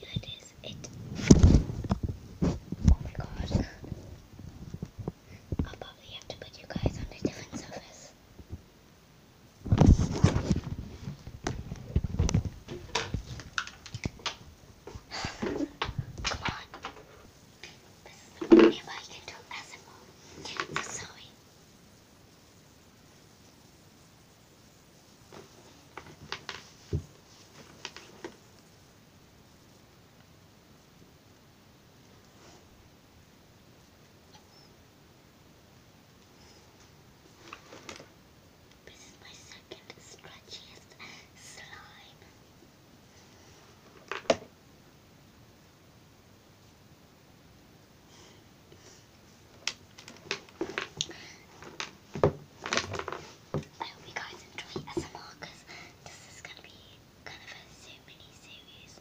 Yeah, it is. It. Oh my god. I'll probably have to put you guys on a different surface. Come on. This is the only way I can do ASMR. So sorry. This is my second stretchiest slime. I hope you guys enjoy SMR because this is going to be kind of a mini series.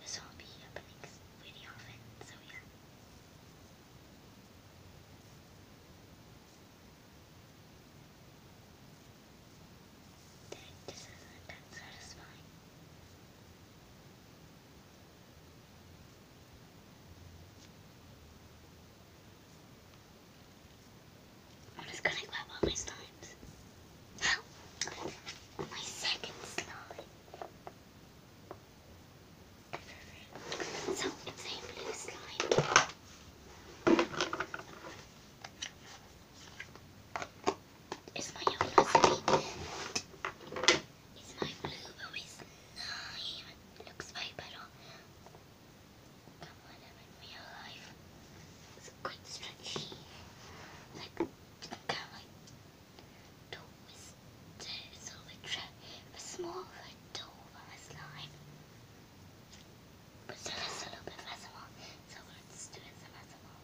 This will be happening really often, so yeah. This isn't that satisfying. I'm just gonna grab all my slimes. my second slime. So it's a blue slime. It's my yellow slime. It's my blue, oh it's slime. Looks very better. Come on, I'm in real It's quite stretchy. Like, kind of like twisted. So we try a small red toe on the slime. But it's a little bit festival. So let's do it some festival.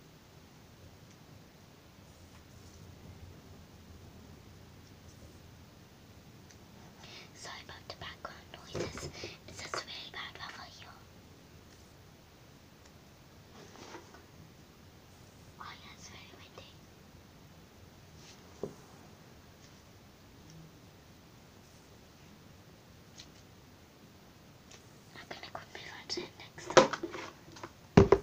Sorry about the background noises. It's just really bad weather here. Oh it's very windy. I'm gonna go my friends in next time.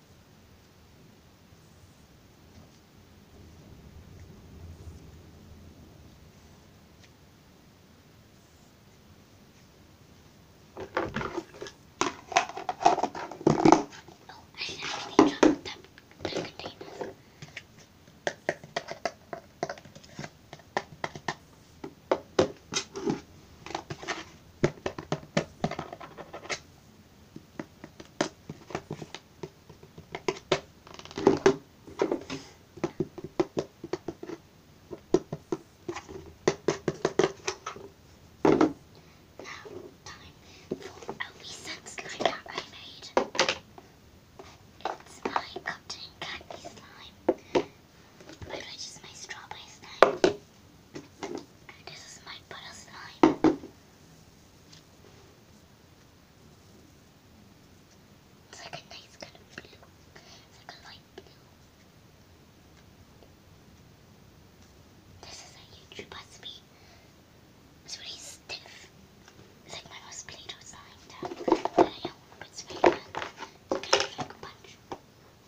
Oh, I actually dropped that, that container time for a recent slime I made. It's my cotton candy slime. But which my strawberry slime. This is my butter slime. It's like a nice kind of blue. It's like a light blue. This is a YouTube recipe. It's really stiff. It's like my most play slime that, I own, it's very good. kind of like a punch.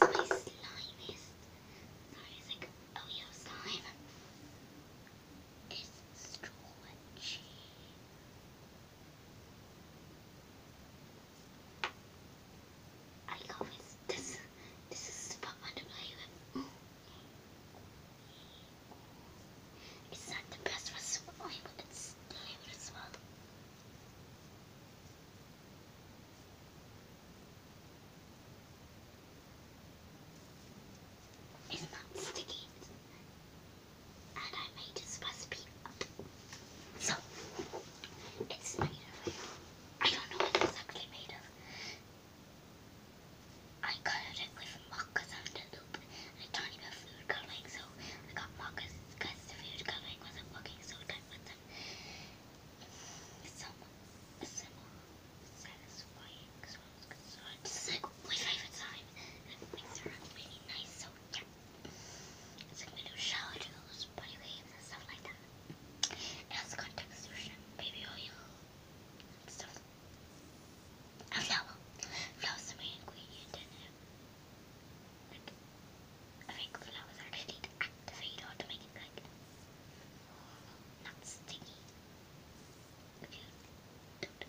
My slime is, sorry, it's like Elio slime. It's straw I love This, this is Batman to play with. It's not the best for Superboy, but it's delivered as well. It's sticky and I made this recipe up. So, it's made of, I don't know what it's made of. I colored it with moccas on the loop and a tiny bit of food coloring, so I got moccas because the food coloring wasn't working so good with them. Some, some satisfying, so it's like my favorite time. And it makes really nice, so yeah. So we do shower body waves, and stuff like that. It has contact solution, baby oil, and stuff. And flour. Flour's the main ingredient in it. Like, I think flowers actually to activate or to make it like not sticky. If you don't.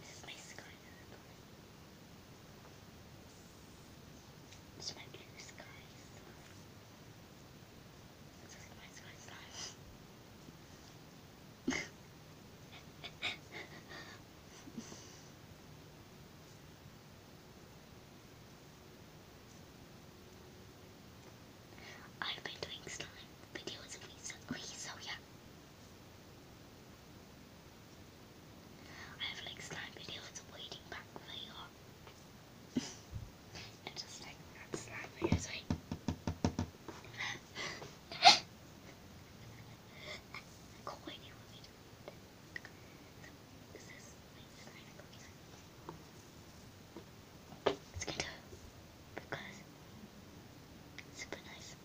This is my sky. It's my blue sky This is my sky stuff. I've been doing slime videos recently, so yeah, I have like slime videos waiting back for you. and just like that slime videos right. not wait Let's get to it because super nice.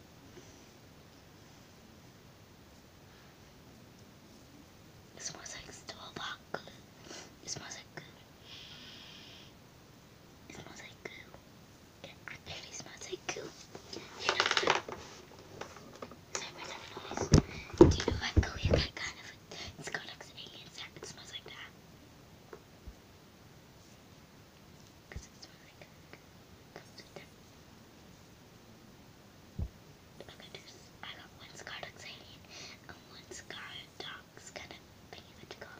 It smells like Starbucks. It smells like goo. It smells like goo. It smells like goo. You know goo. Sorry for that noise. Do you know what goo you kind of? it like an alien It smells like that. Because it's not like computer. I got one scar exciting and one scar kind of magical.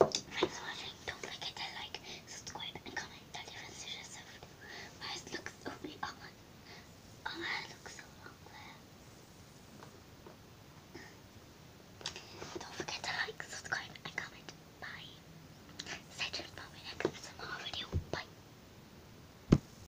Thanks for watching. Don't forget to like, subscribe, and comment My eyes look so big. Oh my, hair oh, looks so long Don't forget to like, subscribe, and comment. Bye. Stay tuned for my next SMR video. Bye.